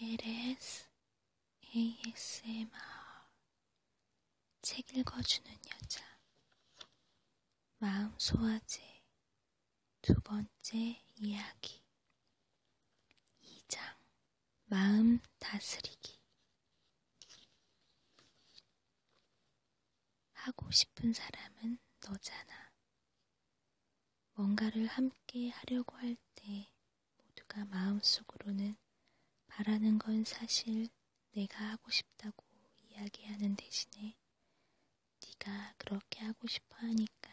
LS ASMR 책 읽어주는 여자 마음 소화제 두 번째 이야기 2장 마음 다스리기 하고 싶은 사람은 너잖아. 뭔가를 함께 하려고 할 때 모두가 마음속으로는 바라는 건 사실 내가 하고 싶다고 이야기하는 대신에 네가 그렇게 하고 싶어 하니까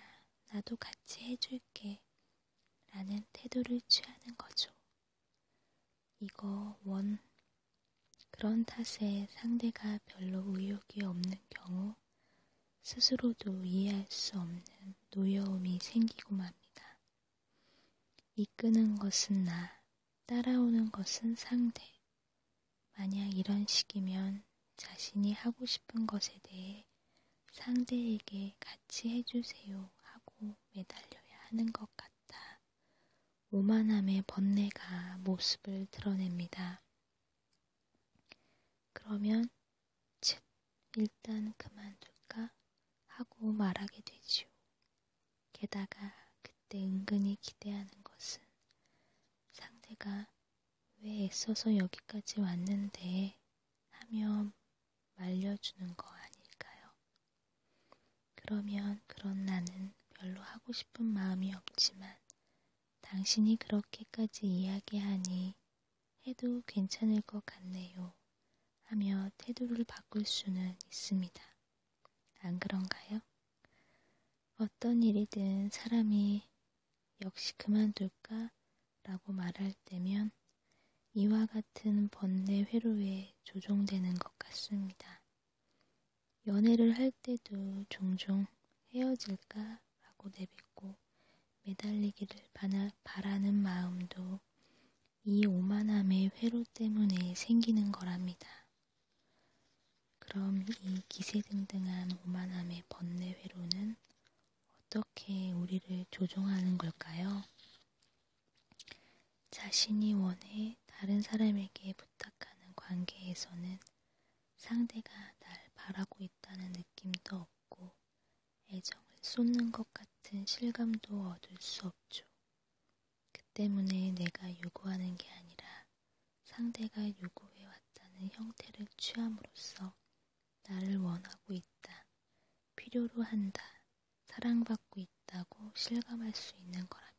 나도 같이 해줄게 라는 태도를 취하는 거죠. 이거 원 그런 탓에 상대가 별로 의욕이 없는 경우 스스로도 이해할 수 없는 노여움이 생기고 맙니다. 이끄는 것은 나, 따라오는 것은 상대. 만약 이런 식이면 자신이 하고 싶은 것에 대해 상대에게 같이 해주세요 하고 매달려야 하는 것 같다. 오만함의 번뇌가 모습을 드러냅니다. 그러면 쯧 일단 그만둘까 하고 말하게 되지요. 게다가 그때 은근히 기대하는 것은 상대가 왜 애써서 여기까지 왔는데 하며 말려주는 거 아닐까요? 그러면 그런 나는 별로 하고 싶은 마음이 없지만 당신이 그렇게까지 이야기하니 해도 괜찮을 것 같네요. 하며 태도를 바꿀 수는 있습니다. 안 그런가요? 어떤 일이든 사람이 역시 그만둘까? 라고 말할 때면 이와 같은 번뇌 회로에 조종되는 것 같습니다. 연애를 할 때도 종종 헤어질까 라고 내뱉고 매달리기를 바라는 마음도 이 오만함의 회로 때문에 생기는 거랍니다. 그럼 이 기세등등한 오만함의 번뇌 회로는 어떻게 우리를 조종하는 걸까요? 자신이 원해 다른 사람에게 부탁하는 관계에서는 상대가 날 바라고 있다는 느낌도 없고 애정을 쏟는 것 같은 실감도 얻을 수 없죠. 그 때문에 내가 요구하는 게 아니라 상대가 요구해왔다는 형태를 취함으로써 나를 원하고 있다, 필요로 한다, 사랑받고 있다고 실감할 수 있는 거랍니다.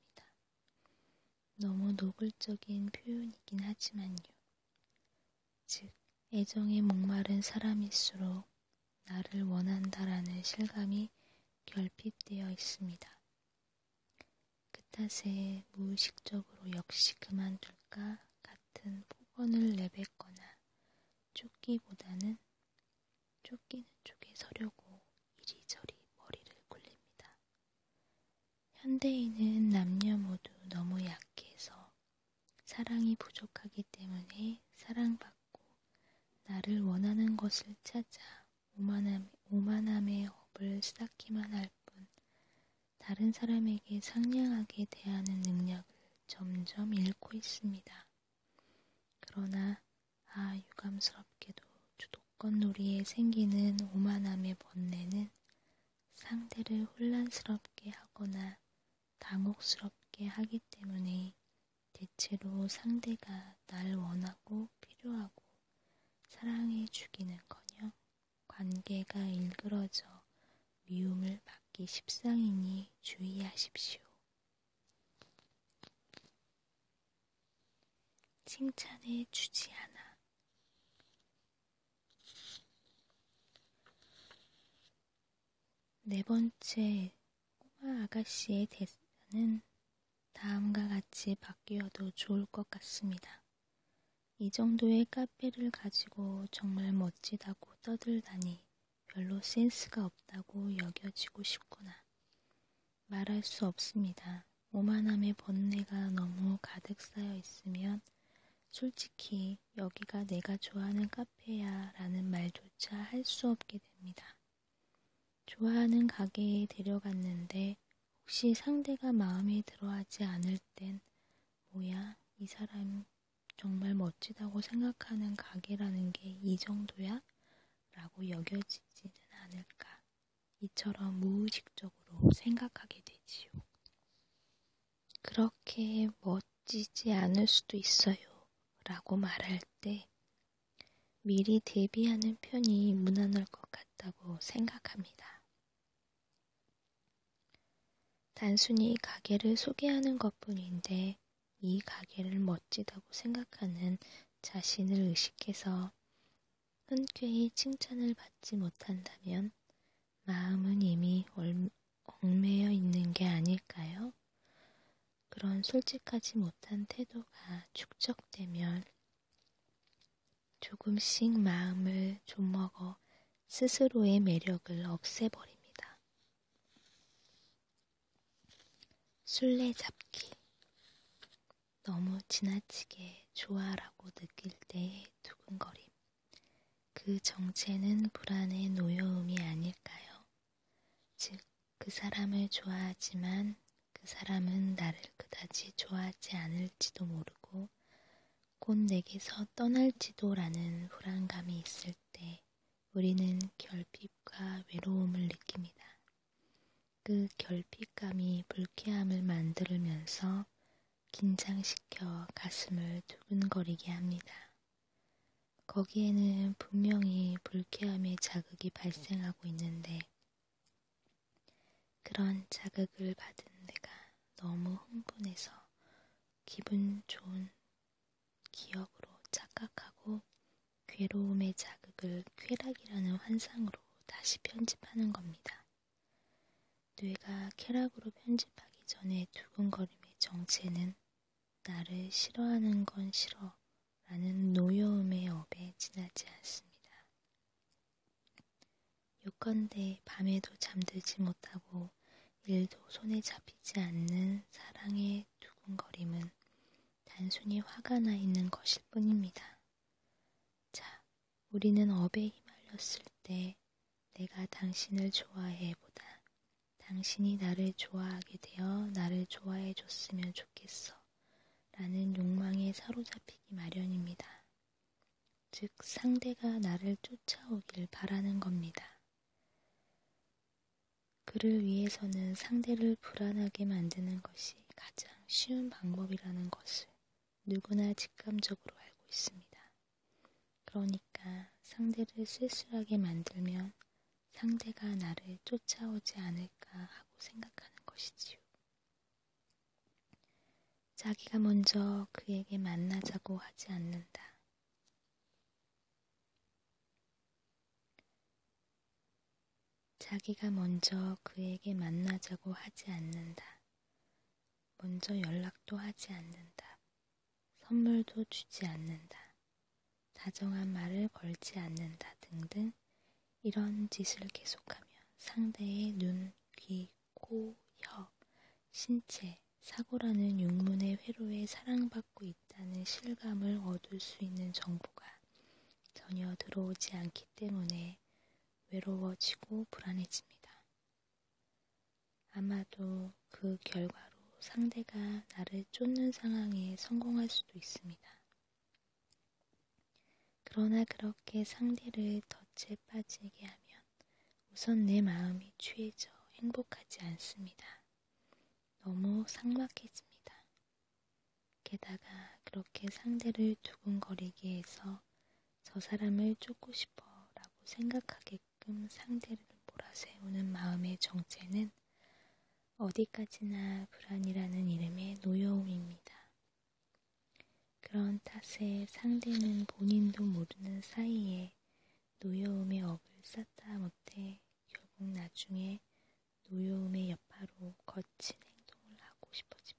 너무 노골적인 표현이긴 하지만요. 즉, 애정에 목마른 사람일수록 나를 원한다라는 실감이 결핍되어 있습니다. 그 탓에 무의식적으로 역시 그만둘까 같은 폭언을 내뱉거나 쫓기보다는 쫓기는 쪽에 서려고 이리저리 머리를 굴립니다. 현대인은 남녀 모두 너무 약해서 사랑이 부족하기 때문에 사랑받고 나를 원하는 것을 찾아 오만함, 오만함의 업을 수다키만 할 뿐, 다른 사람에게 상냥하게 대하는 능력을 점점 잃고 있습니다. 그러나, 아, 유감스럽게도 주독 여건놀이에 생기는 오만함의 번뇌는 상대를 혼란스럽게 하거나 당혹스럽게 하기 때문에 대체로 상대가 날 원하고 필요하고 사랑해 주기는커녕 관계가 일그러져 미움을 받기 십상이니 주의하십시오. 칭찬해 주지 않아. 네 번째 꼬마 아가씨의 대사는 다음과 같이 바뀌어도 좋을 것 같습니다. 이 정도의 카페를 가지고 정말 멋지다고 떠들다니 별로 센스가 없다고 여겨지고 싶구나. 말할 수 없습니다. 오만함의 번뇌가 너무 가득 쌓여 있으면 솔직히 여기가 내가 좋아하는 카페야 라는 말조차 할 수 없게 됩니다. 좋아하는 가게에 데려갔는데 혹시 상대가 마음에 들어하지 않을 땐 뭐야 이 사람 정말 멋지다고 생각하는 가게라는 게 이 정도야? 라고 여겨지지는 않을까. 이처럼 무의식적으로 생각하게 되지요. 그렇게 멋지지 않을 수도 있어요. 라고 말할 때 미리 대비하는 편이 무난할 것 같다고 생각합니다. 단순히 가게를 소개하는 것 뿐인데 이 가게를 멋지다고 생각하는 자신을 의식해서 흔쾌히 칭찬을 받지 못한다면 마음은 이미 얽매여 있는 게 아닐까요? 그런 솔직하지 못한 태도가 축적되면 조금씩 마음을 좀먹어 스스로의 매력을 없애버립니다. 술래잡기 너무 지나치게 좋아라고 느낄 때의 두근거림. 그 정체는 불안의 노여움이 아닐까요? 즉, 그 사람을 좋아하지만 그 사람은 나를 그다지 좋아하지 않을지도 모르고 곧 내게서 떠날지도라는 불안감이 있을 때 우리는 결핍과 외로움을 느낍니다. 그 결핍감이 불쾌함을 만들면서 긴장시켜 가슴을 두근거리게 합니다. 거기에는 분명히 불쾌함의 자극이 발생하고 있는데 그런 자극을 받은 내가 너무 흥분해서 기분 좋은 기억으로 착각하고 괴로움의 자극을 쾌락이라는 환상으로 다시 편집하는 겁니다. 뇌가 쾌락으로 편집하기 전에 두근거림의 정체는 나를 싫어하는 건 싫어 라는 노여움의 업에 지나지 않습니다. 요건데 밤에도 잠들지 못하고 일도 손에 잡히지 않는 사랑의 두근거림은 단순히 화가 나 있는 것일 뿐입니다. 자, 우리는 업에 휘말렸을 때 내가 당신을 좋아해 보다 당신이 나를 좋아하게 되어 나를 좋아해 줬으면 좋겠어. 라는 욕망에 사로잡히기 마련입니다. 즉, 상대가 나를 쫓아오길 바라는 겁니다. 그를 위해서는 상대를 불안하게 만드는 것이 가장 쉬운 방법이라는 것을 누구나 직감적으로 알고 있습니다. 그러니까 상대를 쓸쓸하게 만들면 상대가 나를 쫓아오지 않을까 하고 생각하는 것이지요. 자기가 먼저 그에게 만나자고 하지 않는다. 자기가 먼저 그에게 만나자고 하지 않는다. 먼저 연락도 하지 않는다. 선물도 주지 않는다. 다정한 말을 걸지 않는다 등등 이런 짓을 계속하면 상대의 눈, 귀, 코, 혀, 신체, 사고라는 육문의 회로에 사랑받고 있다는 실감을 얻을 수 있는 정보가 전혀 들어오지 않기 때문에 외로워지고 불안해집니다. 아마도 그 결과로 상대가 나를 쫓는 상황에 성공할 수도 있습니다. 그러나 그렇게 상대를 덫에 빠지게 하면 우선 내 마음이 취해져 행복하지 않습니다. 너무 삭막해집니다. 게다가 그렇게 상대를 두근거리게 해서 저 사람을 쫓고 싶어 라고 생각하게끔 상대를 몰아세우는 마음의 정체는 어디까지나 불안이라는 이름의 노여움입니다. 그런 탓에 상대는 본인도 모르는 사이에 노여움의 업을 쌓다 못해 결국 나중에 노여움의 여파로 거친 행동을 하고 싶어집니다.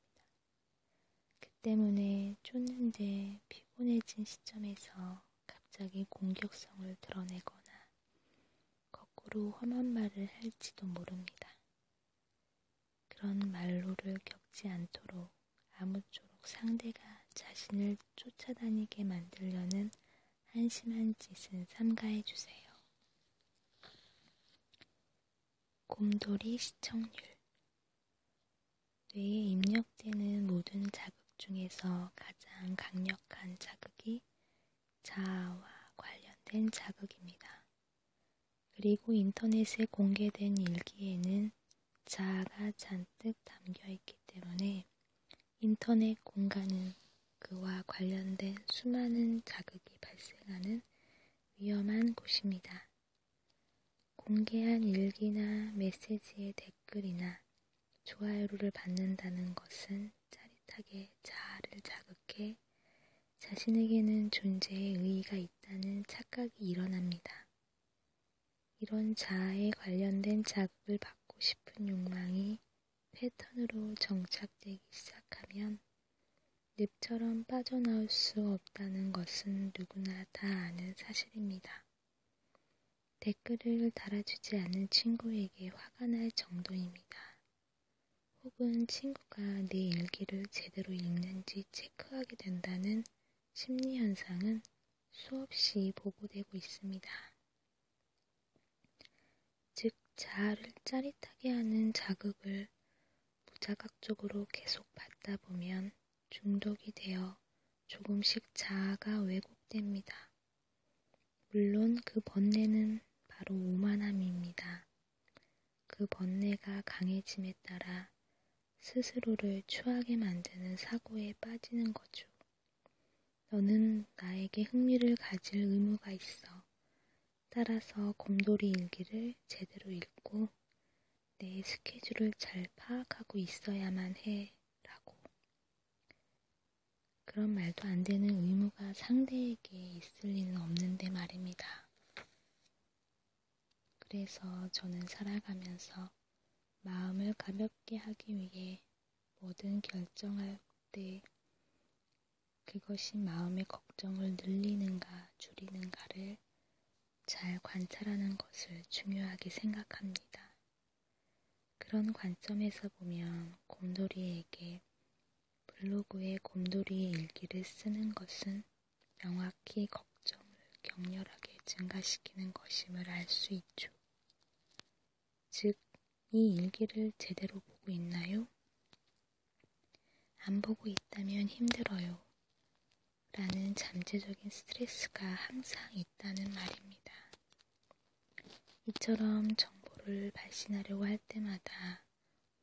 그 때문에 쫓는데 피곤해진 시점에서 갑자기 공격성을 드러내거나 거꾸로 험한 말을 할지도 모릅니다. 그런 말로를 겪지 않도록 아무쪼록 상대가 자신을 쫓아다니게 만들려는 한심한 짓은 삼가해 주세요. 곰돌이 시청률 뇌에 입력되는 모든 자극 중에서 가장 강력한 자극이 자아와 관련된 자극입니다. 그리고 인터넷에 공개된 일기에는 자아가 잔뜩 담겨 있기 때문에 인터넷 공간은 그와 관련된 수많은 자극이 발생하는 위험한 곳입니다. 공개한 일기나 메시지의 댓글이나 좋아요를 받는다는 것은 짜릿하게 자아를 자극해 자신에게는 존재의 의의가 있다는 착각이 일어납니다. 이런 자아에 관련된 자극을 받고 싶은 욕망이 패턴으로 정착되기 시작하면 늪처럼 빠져나올 수 없다는 것은 누구나 다 아는 사실입니다. 댓글을 달아주지 않은 친구에게 화가 날 정도입니다. 혹은 친구가 내 일기를 제대로 읽는지 체크하게 된다는 심리현상은 수없이 보고되고 있습니다. 즉, 자아를 짜릿하게 하는 자극을 무자각적으로 계속 받다 보면 중독이 되어 조금씩 자아가 왜곡됩니다. 물론 그 번뇌는 바로 오만함입니다. 그 번뇌가 강해짐에 따라 스스로를 추하게 만드는 사고에 빠지는 거죠. 너는 나에게 흥미를 가질 의무가 있어. 따라서 곰돌이 일기를 제대로 읽고 내 스케줄을 잘 파악하고 있어야만 해. 라고. 그런 말도 안 되는 의무가 상대에게 있을 리는 없는데 말입니다. 그래서 저는 살아가면서 마음을 가볍게 하기 위해 뭐든 결정할 때 그것이 마음의 걱정을 늘리는가 줄이는가를 잘 관찰하는 것을 중요하게 생각합니다. 그런 관점에서 보면 곰돌이에게 블로그에 곰돌이의 일기를 쓰는 것은 명확히 걱정을 격렬하게 증가시키는 것임을 알 수 있죠. 즉, 이 일기를 제대로 보고 있나요? 안 보고 있다면 힘들어요. 라는 잠재적인 스트레스가 항상 있다는 말입니다. 이처럼 정보를 발신하려고 할 때마다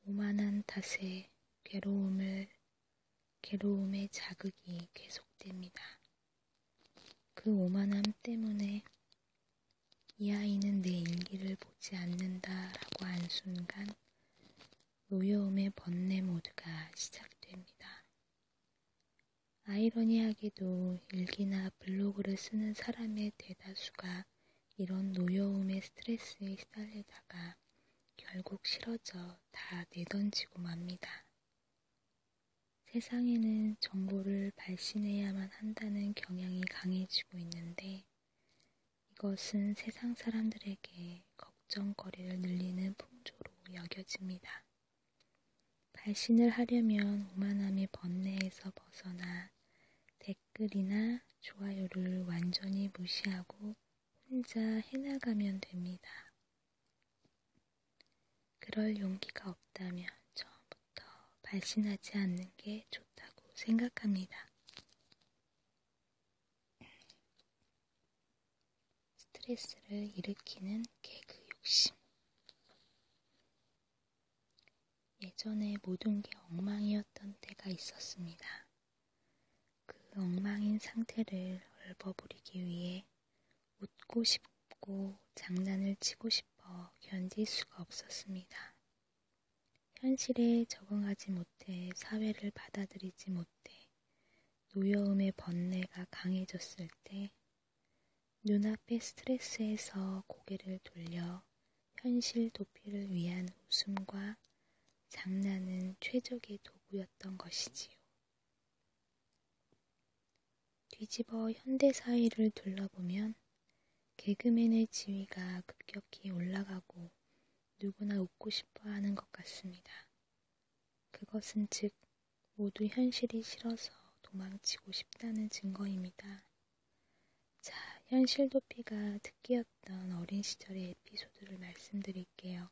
오만한 탓에 괴로움을, 괴로움의 자극이 계속됩니다. 그 오만함 때문에 이 아이는 내 인기를 보지 않는다라고 한 순간 노여움의 번뇌 모드가 시작됩니다. 아이러니하게도 일기나 블로그를 쓰는 사람의 대다수가 이런 노여움의 스트레스에 시달리다가 결국 싫어져 다 내던지고 맙니다. 세상에는 정보를 발신해야만 한다는 경향이 강해지고 있는데 이것은 세상 사람들에게 걱정거리를 늘리는 풍조로 여겨집니다. 발신을 하려면 오만함의 번뇌에서 벗어나 댓글이나 좋아요를 완전히 무시하고 혼자 해나가면 됩니다. 그럴 용기가 없다면 처음부터 발신하지 않는 게 좋다고 생각합니다. 스트레스를 일으키는 개그 욕심. 예전에 모든 게 엉망이었던 때가 있었습니다. 그 엉망인 상태를 얼버무리기 위해 웃고 싶고 장난을 치고 싶어 견딜 수가 없었습니다. 현실에 적응하지 못해 사회를 받아들이지 못해 노여움의 번뇌가 강해졌을 때 눈앞의 스트레스에서 고개를 돌려 현실 도피를 위한 웃음과 장난은 최적의 도구였던 것이지요. 뒤집어 현대 사회를 둘러보면 개그맨의 지위가 급격히 올라가고 누구나 웃고 싶어 하는 것 같습니다. 그것은 즉, 모두 현실이 싫어서 도망치고 싶다는 증거입니다. 자, 현실 도피가 특기였던 어린 시절의 에피소드를 말씀드릴게요.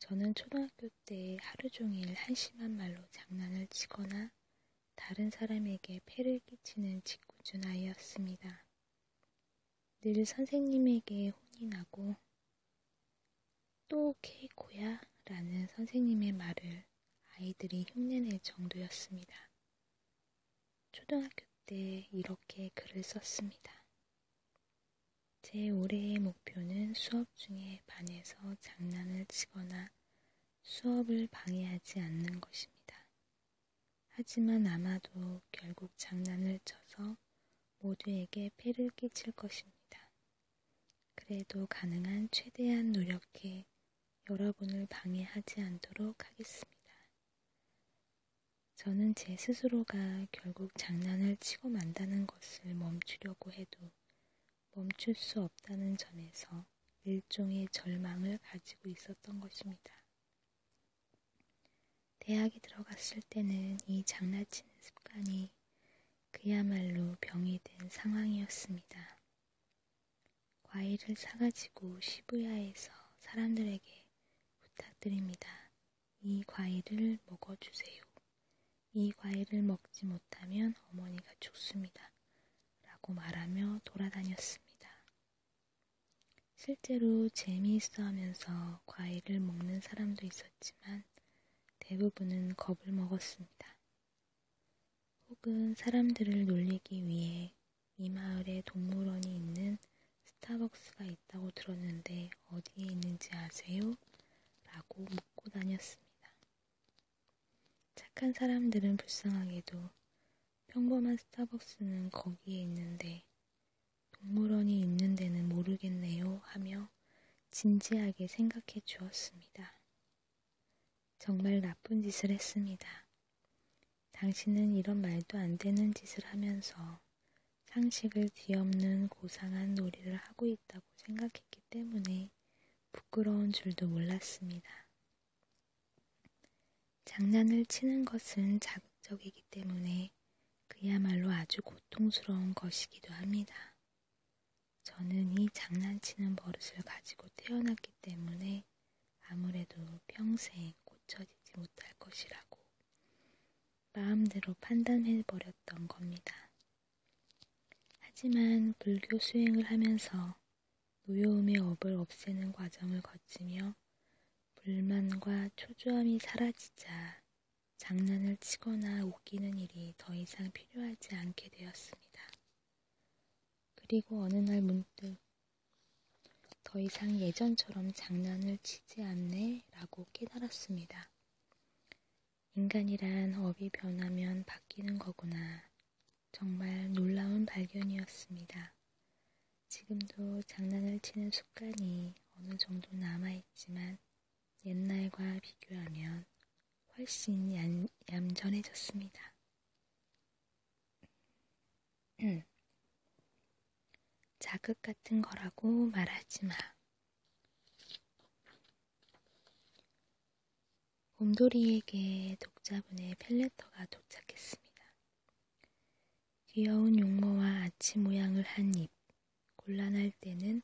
저는 초등학교 때 하루 종일 한심한 말로 장난을 치거나 다른 사람에게 폐를 끼치는 짓궂은 아이였습니다. 늘 선생님에게 혼이 나고 또 케이코야 라는 선생님의 말을 아이들이 흉내낼 정도였습니다. 초등학교 때 이렇게 글을 썼습니다. 제 올해의 목표는 수업 중에 반에서 장난을 치거나 수업을 방해하지 않는 것입니다. 하지만 아마도 결국 장난을 쳐서 모두에게 폐를 끼칠 것입니다. 그래도 가능한 최대한 노력해 여러분을 방해하지 않도록 하겠습니다. 저는 제 스스로가 결국 장난을 치고 만다는 것을 멈추려고 해도 멈출 수 없다는 점에서 일종의 절망을 가지고 있었던 것입니다. 대학에 들어갔을 때는 이 장난치는 습관이 그야말로 병이 된 상황이었습니다. 과일을 사가지고 시부야에서 사람들에게 부탁드립니다. 이 과일을 먹어주세요. 이 과일을 먹지 못하면 어머니가 죽습니다. 라고 말하며 돌아다녔습니다. 실제로 재미있어 하면서 과일을 먹는 사람도 있었지만 대부분은 겁을 먹었습니다. 혹은 사람들을 놀리기 위해 이 마을에 동물원이 있는 스타벅스가 있다고 들었는데 어디에 있는지 아세요? 라고 묻고 다녔습니다. 착한 사람들은 불쌍하게도 평범한 스타벅스는 거기에 있는데 동물원이 있는 데는 모르겠네요 하며 진지하게 생각해 주었습니다. 정말 나쁜 짓을 했습니다. 당신은 이런 말도 안 되는 짓을 하면서 상식을 뒤엎는 고상한 놀이를 하고 있다고 생각했기 때문에 부끄러운 줄도 몰랐습니다. 장난을 치는 것은 자극적이기 때문에 그야말로 아주 고통스러운 것이기도 합니다. 저는 이 장난치는 버릇을 가지고 태어났기 때문에 아무래도 평생 고쳐지지 못할 것이라고 마음대로 판단해버렸던 겁니다. 하지만 불교 수행을 하면서 노여움의 업을 없애는 과정을 거치며 불만과 초조함이 사라지자 장난을 치거나 웃기는 일이 더 이상 필요하지 않게 되었습니다. 그리고 어느 날 문득 더 이상 예전처럼 장난을 치지 않네 라고 깨달았습니다. 인간이란 업이 변하면 바뀌는 거구나. 정말 놀라운 발견이었습니다. 지금도 장난을 치는 습관이 어느 정도 남아있지만 옛날과 비교하면 훨씬 얌, 얌전해졌습니다. 자극 같은 거라고 말하지 마. 곰돌이에게 독자분의 펠레터가 도착했습니다. 귀여운 용모와 아치 모양을 한 입, 곤란할 때는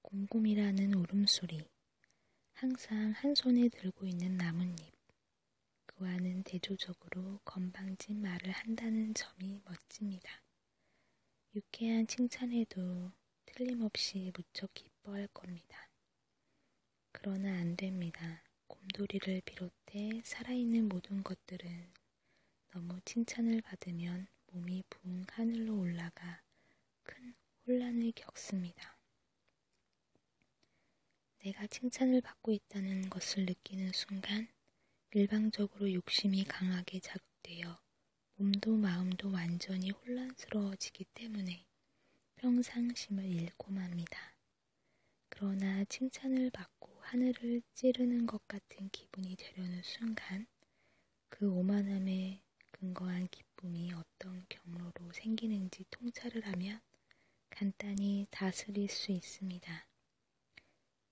곰곰이라는 울음소리, 항상 한 손에 들고 있는 나뭇잎, 그와는 대조적으로 건방진 말을 한다는 점이 멋집니다. 유쾌한 칭찬에도 틀림없이 무척 기뻐할 겁니다. 그러나 안 됩니다. 곰돌이를 비롯해 살아있는 모든 것들은 너무 칭찬을 받으면 몸이 붕 하늘로 올라가 큰 혼란을 겪습니다. 내가 칭찬을 받고 있다는 것을 느끼는 순간 일방적으로 욕심이 강하게 자극되어 몸도 마음도 완전히 혼란스러워지기 때문에 평상심을 잃고 맙니다. 그러나 칭찬을 받고 하늘을 찌르는 것 같은 기분이 되려는 순간 그 오만함에 근거한 기쁨이 어떤 경로로 생기는지 통찰을 하면 간단히 다스릴 수 있습니다.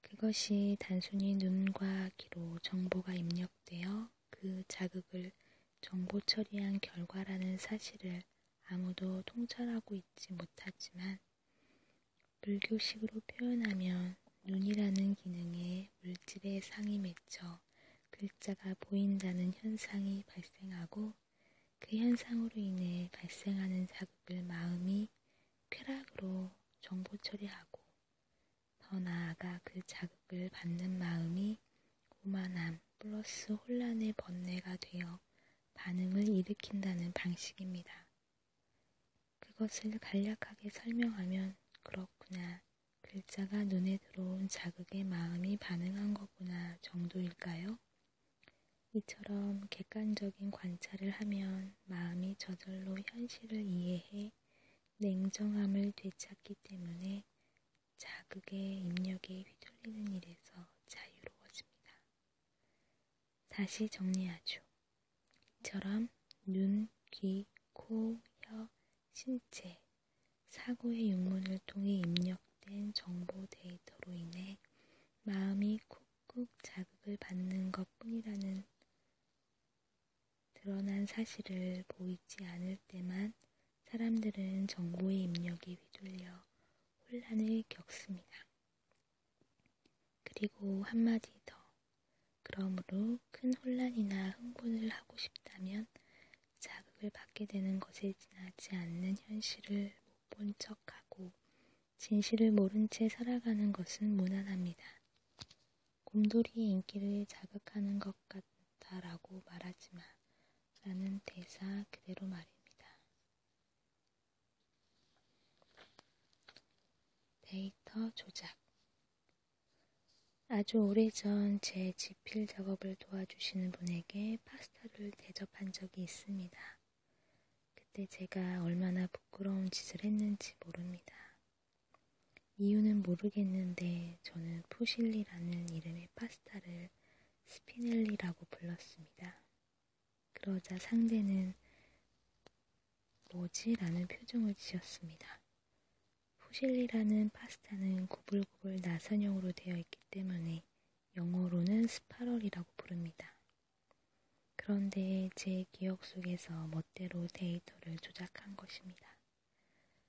그것이 단순히 눈과 귀로 정보가 입력되어 그 자극을 정보 처리한 결과라는 사실을 아무도 통찰하고 있지 못하지만 불교식으로 표현하면 눈이라는 기능에 물질의 상이 맺혀 글자가 보인다는 현상이 발생하고 그 현상으로 인해 발생하는 자극을 마음이 쾌락으로 정보 처리하고 더 나아가 그 자극을 받는 마음이 오만함, 플러스 혼란의 번뇌가 되어 반응을 일으킨다는 방식입니다. 그것을 간략하게 설명하면 그렇구나. 글자가 눈에 들어온 자극에 마음이 반응한 거구나 정도일까요? 이처럼 객관적인 관찰을 하면 마음이 저절로 현실을 이해해 냉정함을 되찾기 때문에 자극의 입력이 휘둘리는 일에서 자유로워집니다. 다시 정리하죠. 이처럼 눈, 귀, 코, 혀, 신체, 사고의 용문을 통해 입력된 정보 데이터로 인해 마음이 쿡쿡 자극을 받는 것 뿐이라는 드러난 사실을 보이지 않을 때만 사람들은 정보의 입력이 휘둘려 혼란을 겪습니다. 그리고 한마디 더. 그러므로 큰 혼란이나 흥분을 하고 싶다면 자극을 받게 되는 것에 지나지 않는 현실을 못 본 척하고 진실을 모른 채 살아가는 것은 무난합니다. 곰돌이의 인기를 자극하는 것 같다라고 말하지만 라는 대사 그대로 말입니다. 데이터 조작 아주 오래전 제 지필 작업을 도와주시는 분에게 파스타를 대접한 적이 있습니다. 그때 제가 얼마나 부끄러운 짓을 했는지 모릅니다. 이유는 모르겠는데 저는 푸실리라는 이름의 파스타를 스피넬리라고 불렀습니다. 그러자 상대는 뭐지? 라는 표정을 지었습니다. 푸실리라는 파스타는 구불구불 나선형으로 되어 있기 때문에 영어로는 스파럴이라고 부릅니다. 그런데 제 기억 속에서 멋대로 데이터를 조작한 것입니다.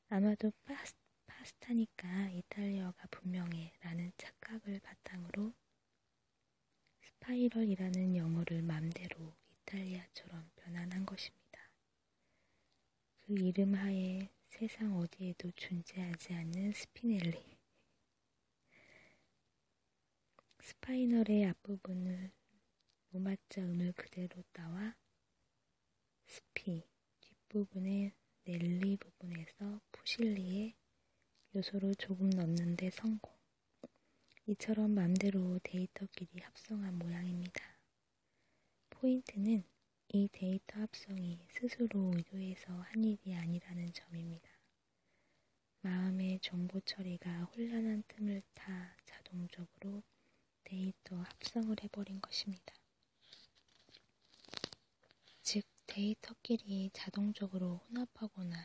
아마도 파스, 파스타니까 이탈리아가 분명해 라는 착각을 바탕으로 스파이럴이라는 영어를 맘대로 이탈리아처럼 변환한 것입니다. 그 이름 하에 세상 어디에도 존재하지 않는 스피넬리. 스파이널의 앞부분을 로마자 음을 그대로 따와 스피 뒷부분의 넬리 부분에서 푸실리의 요소를 조금 넣는데 성공. 이처럼 맘대로 데이터끼리 합성한 모양입니다. 포인트는 이 데이터 합성이 스스로 의도해서 한 일이 아니라는 점입니다. 마음의 정보 처리가 혼란한 틈을 타 자동적으로 데이터 합성을 해버린 것입니다. 즉 데이터끼리 자동적으로 혼합하거나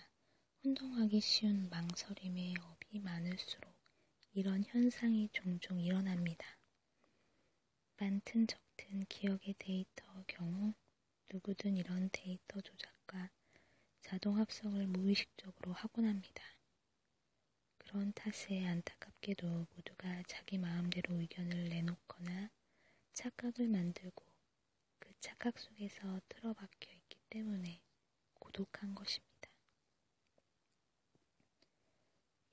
혼동하기 쉬운 망설임의 업이 많을수록 이런 현상이 종종 일어납니다. 많든 적든 기억의 데이터 경우 누구든 이런 데이터 조작과 자동 합성을 무의식적으로 하곤 합니다. 그런 탓에 안타깝게도 모두가 자기 마음대로 의견을 내놓거나 착각을 만들고 그 착각 속에서 틀어박혀 있기 때문에 고독한 것입니다.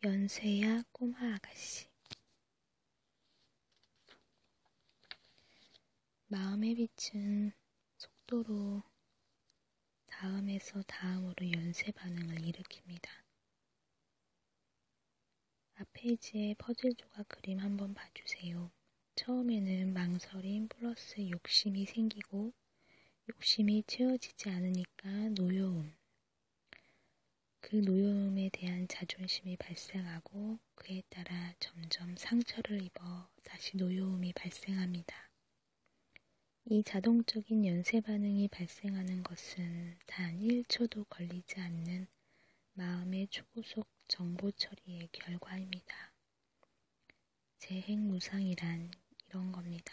연쇄야 꼬마 아가씨 마음의 빛은 속도로 다음에서 다음으로 연쇄 반응을 일으킵니다. 앞페이지에 퍼즐 조각 그림 한번 봐주세요. 처음에는 망설임 플러스 욕심이 생기고 욕심이 채워지지 않으니까 노여움. 그 노여움에 대한 자존심이 발생하고 그에 따라 점점 상처를 입어 다시 노여움이 발생합니다. 이 자동적인 연쇄 반응이 발생하는 것은 단 1초도 걸리지 않는 것은 마음의 초고속 정보 처리의 결과입니다. 재행무상이란 이런 겁니다.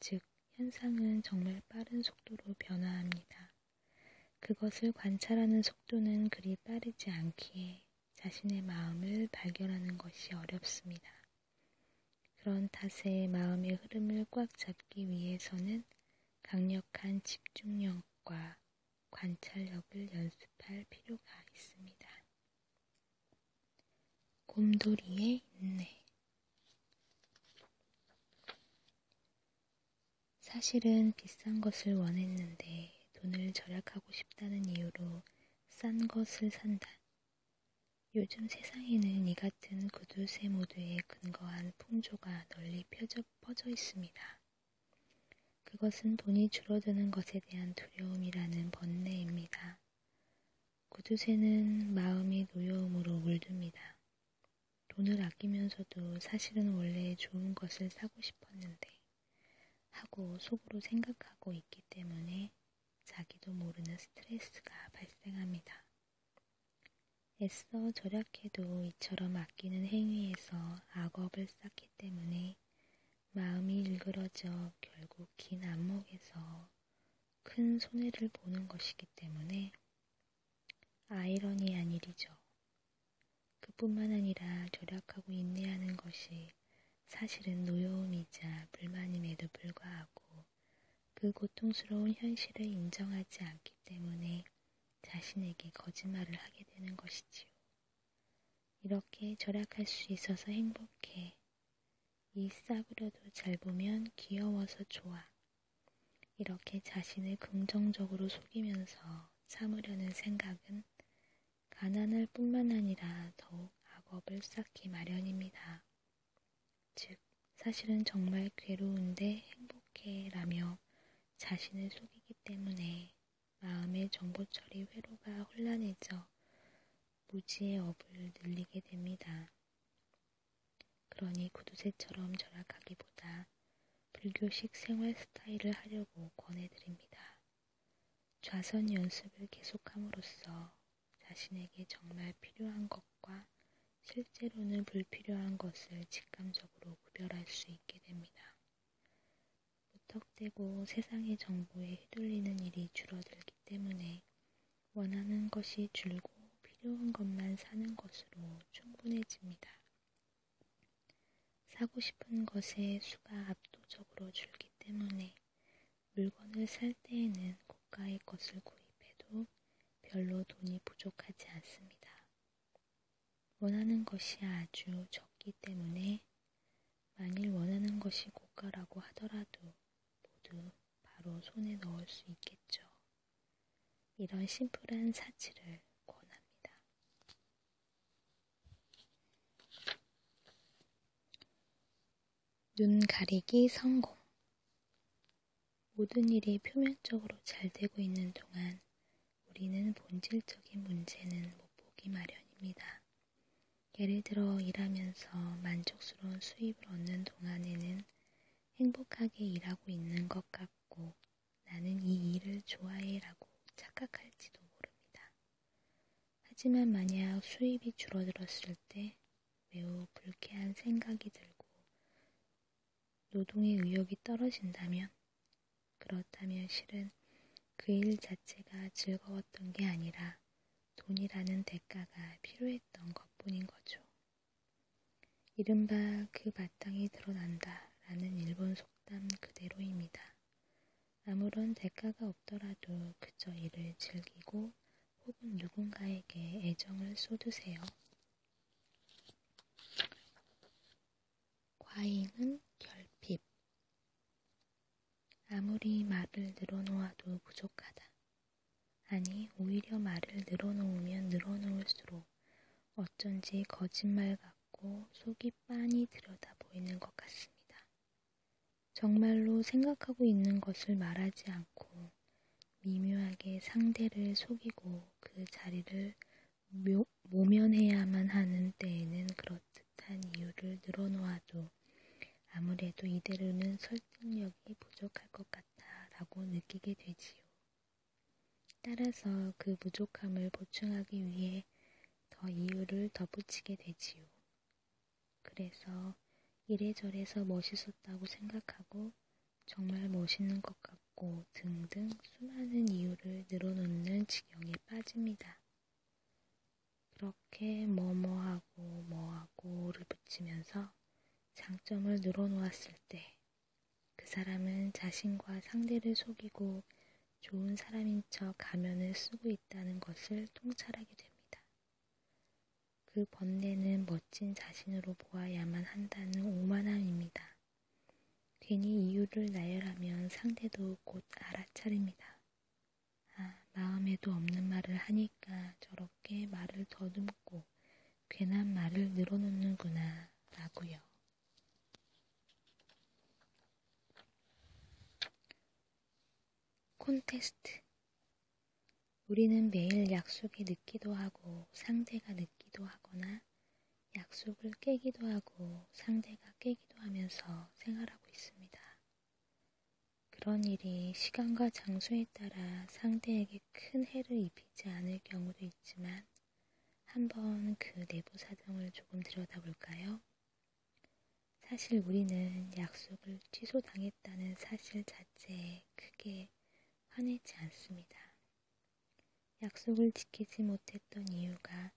즉, 현상은 정말 빠른 속도로 변화합니다. 그것을 관찰하는 속도는 그리 빠르지 않기에 자신의 마음을 발견하는 것이 어렵습니다. 그런 탓에 마음의 흐름을 꽉 잡기 위해서는 강력한 집중력과 관찰력을 연습할 필요가 있습니다. 곰돌이의 인내 사실은 비싼 것을 원했는데 돈을 절약하고 싶다는 이유로 싼 것을 산다. 요즘 세상에는 이가 같은 구두쇠 모드에 근거한 풍조가 널리 펴져, 퍼져 있습니다. 그것은 돈이 줄어드는 것에 대한 두려움이라는 번뇌입니다. 구두쇠는 마음이 노여움으로 물듭니다. 돈을 아끼면서도 사실은 원래 좋은 것을 사고 싶었는데 하고 속으로 생각하고 있기 때문에 자기도 모르는 스트레스가 발생합니다. 애써 절약해도 이처럼 아끼는 행위에서 악업을 쌓기 때문에 마음이 일그러져 결국 긴 안목에서 큰 손해를 보는 것이기 때문에 아이러니한 일이죠. 그뿐만 아니라 절약하고 인내하는 것이 사실은 노여움이자 불만임에도 불구하고 그 고통스러운 현실을 인정하지 않기 때문에 자신에게 거짓말을 하게 되는 것이지요. 이렇게 절약할 수 있어서 행복해. 이 싸구려도 잘 보면 귀여워서 좋아. 이렇게 자신을 긍정적으로 속이면서 참으려는 생각은 가난할 뿐만 아니라 더욱 악업을 쌓기 마련입니다. 즉, 사실은 정말 괴로운데 행복해 라며 자신을 속이기 때문에 마음의 정보 처리 회로가 혼란해져 무지의 업을 늘리게 됩니다. 그러니 구두쇠처럼 절약하기보다 불교식 생활 스타일을 하려고 권해드립니다. 좌선 연습을 계속함으로써 자신에게 정말 필요한 것과 실제로는 불필요한 것을 직감적으로 구별할 수 있게 됩니다. 무턱대고 세상의 정보에 휘둘리는 일이 줄어들기 때문에 원하는 것이 줄고 필요한 것만 사는 것으로 충분해집니다. 사고 싶은 것의 수가 압도적으로 줄기 때문에 물건을 살 때에는 고가의 것을 구입해도 별로 돈이 부족하지 않습니다. 원하는 것이 아주 적기 때문에 만일 원하는 것이 고가라고 하더라도 모두 바로 손에 넣을 수 있겠죠. 이런 심플한 사치를 권합니다. 눈 가리기 성공 모든 일이 표면적으로 잘 되고 있는 동안 우리는 본질적인 문제는 못 보기 마련입니다. 예를 들어 일하면서 만족스러운 수입을 얻는 동안에는 행복하게 일하고 있는 것 같고 나는 이 일을 좋아해라고 착각할지도 모릅니다. 하지만 만약 수입이 줄어들었을 때 매우 불쾌한 생각이 들고 노동의 의욕이 떨어진다면, 그렇다면 실은 그 일 자체가 즐거웠던 게 아니라 돈이라는 대가가 필요했던 것 뿐인 거죠. 이른바 그 바탕이 드러난다 라는 일본 속담 그대로입니다. 아무런 대가가 없더라도 그저 일을 즐기고 혹은 누군가에게 애정을 쏟으세요. 과잉은 결핍. 아무리 말을 늘어놓아도 부족하다. 아니, 오히려 말을 늘어놓으면 늘어놓을수록 어쩐지 거짓말 같고 속이 빤히 들여다 보이는 것 같습니다. 정말로 생각하고 있는 것을 말하지 않고 미묘하게 상대를 속이고 그 자리를 묘, 모면해야만 하는 때에는 그렇듯한 이유를 늘어놓아도 아무래도 이대로는 설득력이 부족할 것 같아 라고 느끼게 되지요. 따라서 그 부족함을 보충하기 위해 더 이유를 덧붙이게 되지요. 그래서 이래저래서 멋있었다고 생각하고 정말 멋있는 것 같고 등등 수많은 이유를 늘어놓는 지경에 빠집니다. 그렇게 뭐뭐하고 뭐하고를 붙이면서 장점을 늘어놓았을 때 그 사람은 자신과 상대를 속이고 좋은 사람인 척 가면을 쓰고 있다는 것을 통찰하게 됩니다. 그 번뇌는 멋진 자신으로 보아야만 한다는 오만함입니다. 괜히 이유를 나열하면 상대도 곧 알아차립니다. 아, 마음에도 없는 말을 하니까 저렇게 말을 더듬고 괜한 말을 늘어놓는구나, 라고요. 콘테스트 우리는 매일 약속이 늦기도 하고 상대가 늦기도 하거나 약속을 깨기도 하고 상대가 깨기도 하면서 생활하고 있습니다. 그런 일이 시간과 장소에 따라 상대에게 큰 해를 입히지 않을 경우도 있지만 한번 그 내부 사정을 조금 들여다볼까요? 사실 우리는 약속을 취소당했다는 사실 자체에 크게 화내지 않습니다. 약속을 지키지 못했던 이유가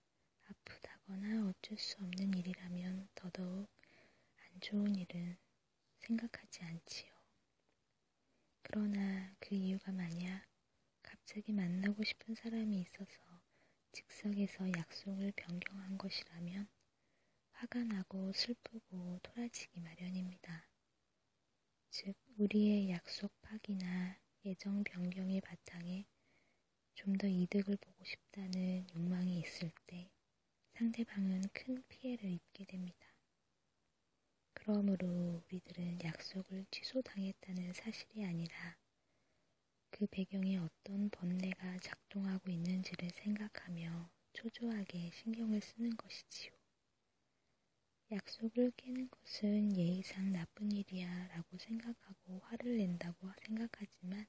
아프다거나 어쩔 수 없는 일이라면 더더욱 안 좋은 일은 생각하지 않지요. 그러나 그 이유가 만약 갑자기 만나고 싶은 사람이 있어서 즉석에서 약속을 변경한 것이라면 화가 나고 슬프고 토라지기 마련입니다. 즉 우리의 약속 파기나 예정 변경의 바탕에 좀 더 이득을 보고 싶다는 욕망이 있을 때 상대방은 큰 피해를 입게 됩니다. 그러므로 우리들은 약속을 취소당했다는 사실이 아니라 그 배경에 어떤 번뇌가 작동하고 있는지를 생각하며 초조하게 신경을 쓰는 것이지요. 약속을 깨는 것은 예의상 나쁜 일이야 라고 생각하고 화를 낸다고 생각하지만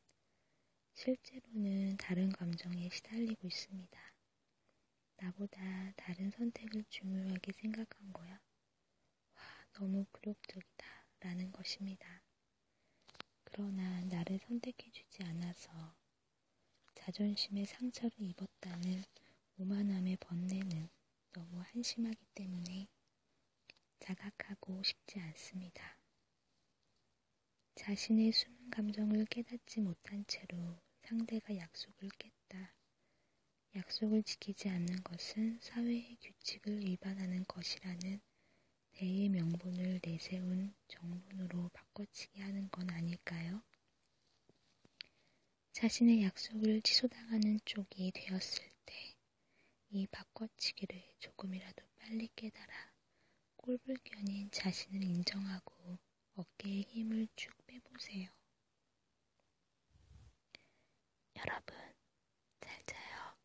실제로는 다른 감정에 시달리고 있습니다. 나보다 다른 선택을 중요하게 생각한 거야. 와, 너무 굴욕적이다. 라는 것입니다. 그러나 나를 선택해주지 않아서 자존심에 상처를 입었다는 오만함의 번뇌는 너무 한심하기 때문에 자각하고 싶지 않습니다. 자신의 숨은 감정을 깨닫지 못한 채로 상대가 약속을 깼다. 약속을 지키지 않는 것은 사회의 규칙을 위반하는 것이라는 대의 명분을 내세운 정론으로 바꿔치기 하는 건 아닐까요? 자신의 약속을 취소당하는 쪽이 되었을 때 이 바꿔치기를 조금이라도 빨리 깨달아 꼴불견인 자신을 인정하고 어깨에 힘을 쭉 빼보세요. 여러분, 잘 자요.